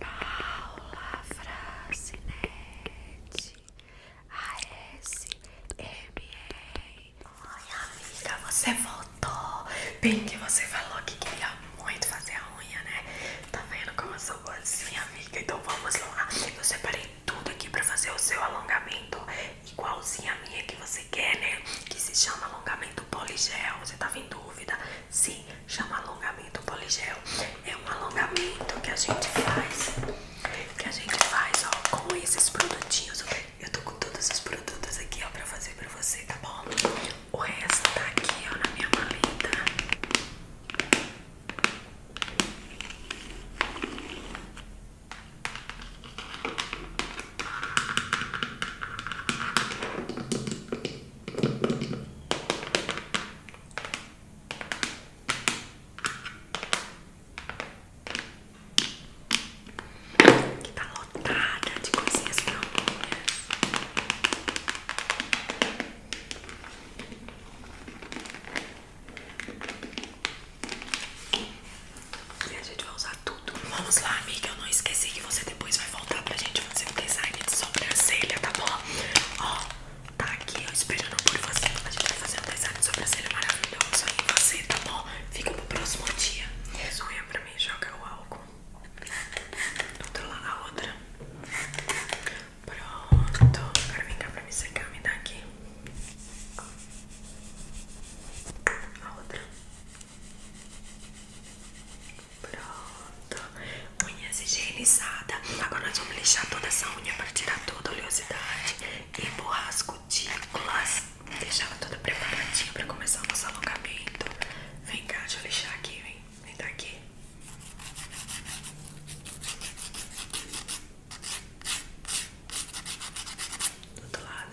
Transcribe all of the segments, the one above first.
Paula Francinete ASMR Ai amiga, você voltou Bem que você falou que queria muito fazer a unha, né? Tá vendo como eu sou boazinha, assim, amiga? Então vamos lá Eu separei tudo aqui pra fazer o seu alongamento Igualzinho a minha que você quer, né? Que se chama alongamento poligel Você tava tá em dúvida? Sim, chama alongamento poligel. É um alongamento que a gente faz. Que a gente faz, ó, com esses produtinhos. Eu tô com todos os produtos aqui, ó, pra fazer pra você, tá bom? O resto tá aqui, ó, na minha maleta. Que tá lotada de coisinhas prontinhas. E a gente vai usar tudo. Vamos lá, amiga. Eu não esqueci que você depois vai voltar pra gente fazer um design de sobrancelha, tá bom? Ó, tá aqui, ó, esperando por você. A gente vai fazer um design de sobrancelha maravilhoso aí em você, tá bom? Fica pro próximo dia. Sonha pra mim, joga o álcool. lá, a outra. Pronto. Agora vem cá pra me secar, me dá aqui. A outra. Pronto, unhas higienizadas. Agora nós vamos lixar toda essa unha para tirar toda a oleosidade e borrar as cutículas. Deixar ela toda preparadinha para começar o nosso alongamento. Vem cá, deixa eu lixar aqui, vem. Vem daqui. Do outro lado.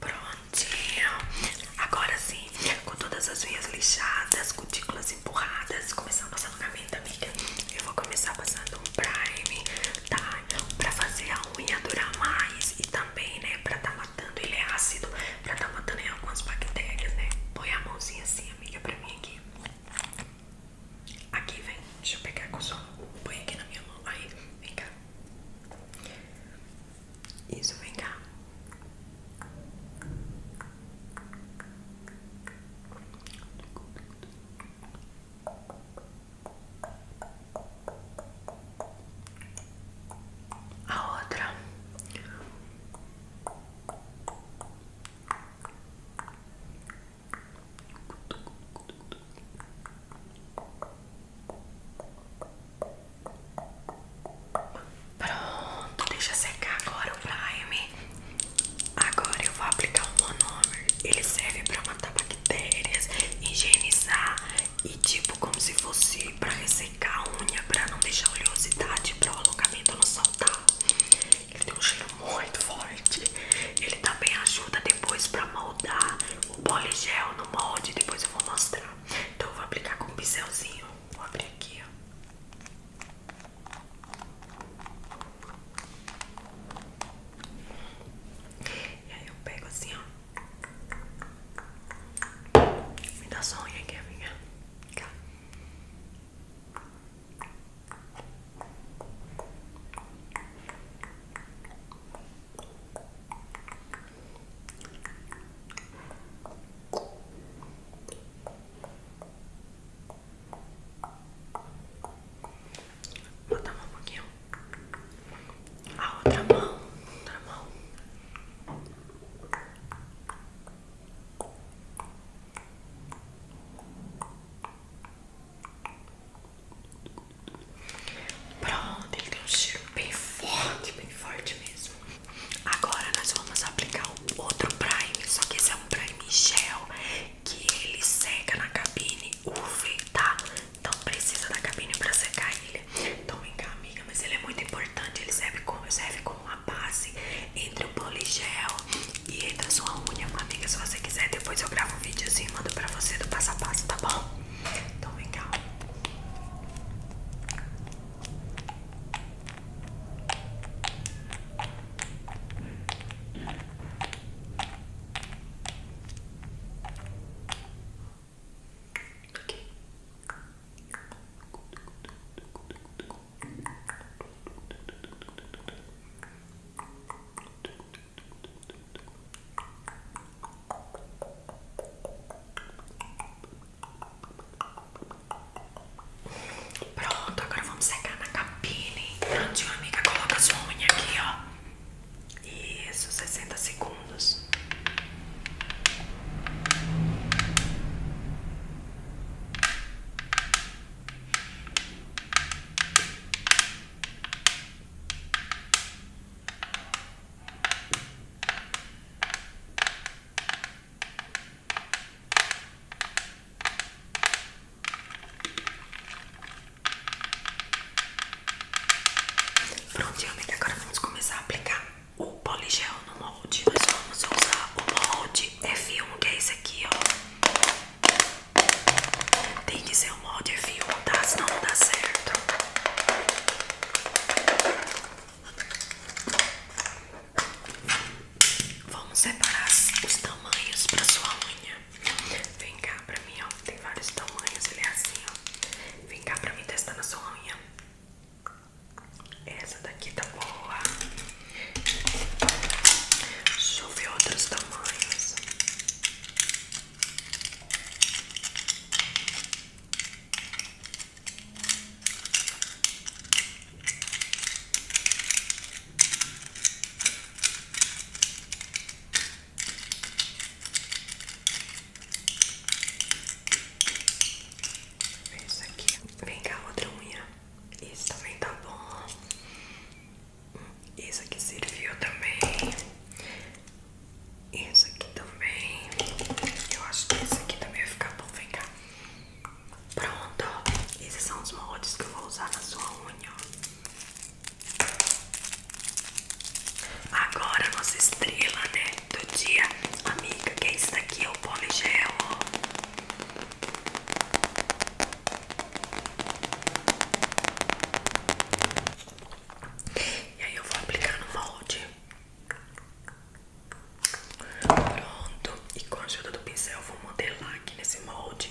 Prontinho. Agora sim, com todas as veias lixadas, cutículas empurradas, começando passando na amiga. Eu vou começar passando um prime tá? Pra fazer a unha durar mais e também, né? Pra tá matando, ele é ácido, pra tá matando algumas bactérias, né? Põe a mãozinha assim, amiga, pra mim aqui. Aqui, vem. Deixa eu pegar com o som Põe aqui na minha mão. Aí, vem cá. Isso, vem cá. A outra Pronto, deixa secar agora o prime Agora eu vou aplicar o monomer Ele serve para matar bactérias bactérias, higienizar e tipo como se fosse para ressecar a unha, para não deixar oleosidade, para o alocamento não saltar. Ele tem um cheiro muito forte. Ele também ajuda depois para moldar o poligel no molde, depois eu vou mostrar. Então eu vou aplicar com um pincelzinho. Vou abrir aqui, ó. E aí eu pego assim, ó. Me dá só unha aqui, amiga. Cá. Botar um pouquinho. A outra mão. Outra mão. Pronto, ele tem um cheiro bem forte, bem forte mesmo. Agora nós vamos aplicar o outro prime, só que esse é um prime gel que ele seca na cabine UV, tá? Então precisa da cabine pra secar ele. Então vem cá, amiga, mas ele é muito importante, ele serve como, serve como uma base entre o poligel e entre a sua unha, amiga. Se você quiser, depois eu gravo um videozinho e mando pra você do passo a passo, tá bom? Então vem cá. Hum. Okay. Pronto, agora vamos secar na capine. Pronto, amiga, coloca sua unha aqui, ó. Isso, sessenta segundos. Prontinho, realmente agora vamos começar a aplicar o poligel no molde. Nós vamos usar o molde F1, que é esse aqui, ó. Tem que ser o molde F1, tá? Senão não dá certo. Vamos separar os tamanhos para sua unha. Vem cá para mim, ó. Tem vários tamanhos, ele é assim, ó. Vem cá para mim testar na sua unha. Essa daqui tá boa. Deixa eu ver outros tamanhos. Isso aqui. Vem é cá, outra unha. Isso também tá bom. Isso aqui serviu também. Isso aqui também. Eu acho que esse aqui também vai ficar bom. Vem cá. Pronto, esses são os moldes que eu vou usar na sua unha. Agora nossa estrela, né, do dia, amiga, que é isso daqui, é o poligel. E aí eu vou aplicar no molde. Pronto, e com a ajuda do pincel vou modelar aqui nesse molde.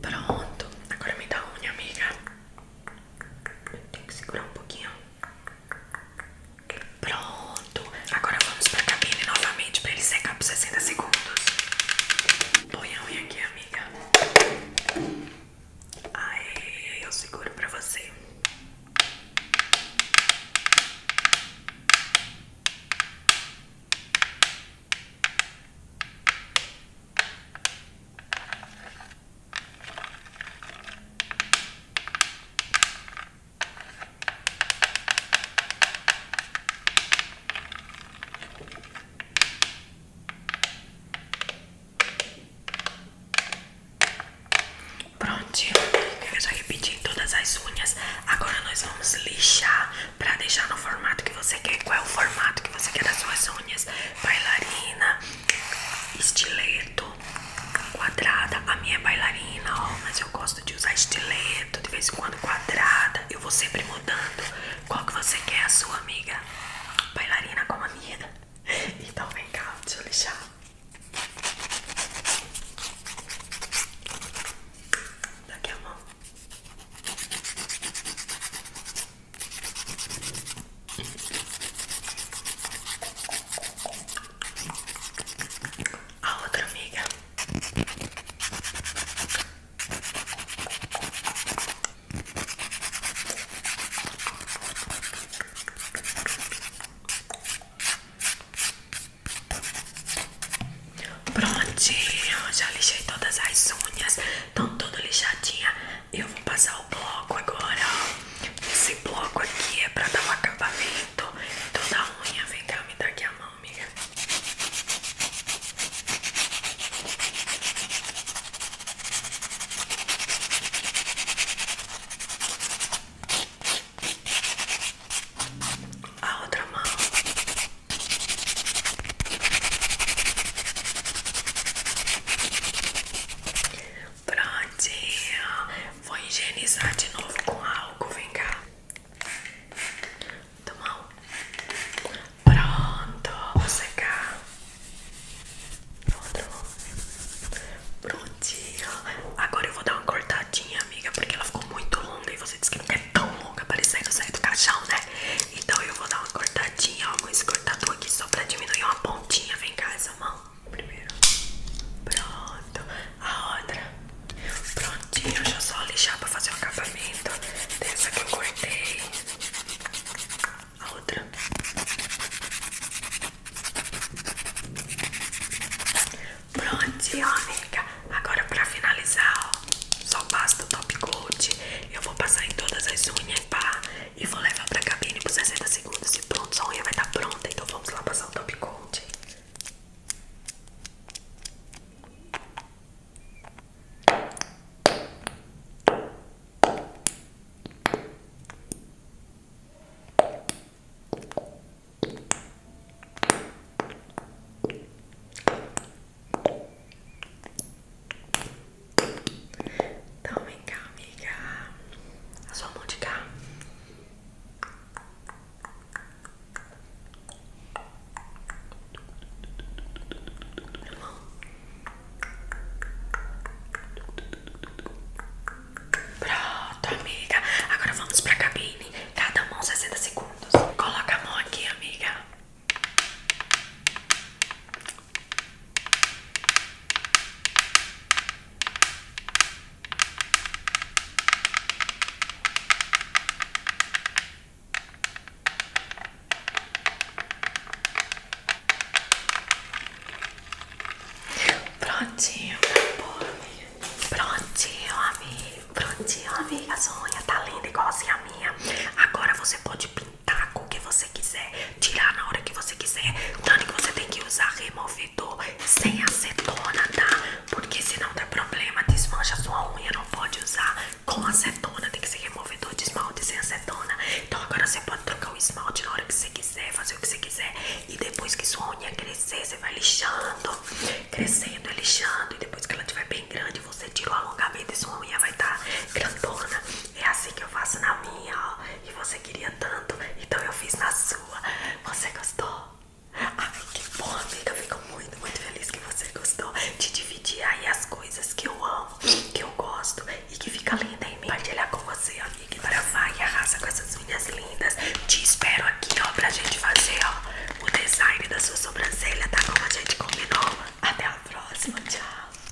Pronto, agora me dá unha, amiga. Eu tenho que segurar um pouquinho. Pronto, agora vamos pra cabine novamente pra ele secar por sessenta segundos. Põe a unha aqui, amiga. Aí eu seguro pra você. Prontinho, eu já repeti todas as unhas. Agora nós vamos lixar para deixar no formato que você quer. Qual é o formato que você quer das suas unhas? Bailarina, estileto, quadrada a minha é bailarina, ó. Mas eu gosto de usar estileto, de vez em quando quadrada. Eu vou sempre mudando. Qual que você quer, a sua amiga? Bailarina como a minha. Então vem cá, deixa eu lixar. Daqui a mão a outra amiga. Prontinho, já lixei todas as unhas, estão todas lixadinhas. Eu vou passar o bloco agora. Esse bloco aqui é pra dar um acabamento toda então a unha. Vem cá, me dá aqui a mão, amiga. A outra mão. Prontinho. Vou higienizar de novo com álcool. Vem cá. Toma um. Pronto. Vou secar. pronto Prontinho. Agora eu vou dar uma cortadinha, amiga, porque ela ficou muito longa e você disse que não é tão longa, parecendo sair do caixão, né? Então eu vou dar uma cortadinha, ó, com esse cortador aqui só pra diminuir uma pontinha. Vem cá essa mão primeiro. Pronto. A outra. Prontinho, deixa eu só lixar pra fazer o acabamento. Dessa que eu cortei. A outra. Prontinho, amiga. Agora pra finalizar, ó. Só basta o top coat. Eu vou passar em todas as unhas, pá e vou levar pra cabine por sessenta segundos e pronto, sua unha vai estar tá pronta. Então vamos lá passar o top coat. Então vem cá, amiga. A sua mão de cá. Pronto, amiga. Agora vamos para tá, a cabine. Cada mão sessenta segundos. Coloca a mão aqui, amiga. Prontinho, amor. Prontinho, amigo. Prontinho, amiga. A sua unha tá linda igualzinha a minha. Agora você pode pintar taca tá o que você quiser, tirar na hora que você quiser. Tanto que você tem que usar removedor sem acetona, tá? Porque senão dá problema, desmancha sua unha, não pode usar com acetona, tem que ser removedor de esmalte sem acetona. Então agora você pode trocar o esmalte na hora que você quiser, fazer o que você quiser. E depois que sua unha crescer, você vai lixando, crescendo e é lixando. E depois que ela tiver bem grande, você tira o alongamento e sua unha vai estar tá grandona. É assim que eu faço na minha, ó e você queria tanto, então eu fiz na sua. Você gostou? Ai, que bom, amiga. Fico muito, muito feliz que você gostou de dividir aí as coisas que eu amo, que eu gosto e que fica linda em mim. Compartilhar com você, amiga. Agora vai e arrasa com essas unhas lindas. Te espero aqui, ó, pra gente fazer, ó, o design da sua sobrancelha, tá? Como a gente combinou. Até a próxima. Tchau.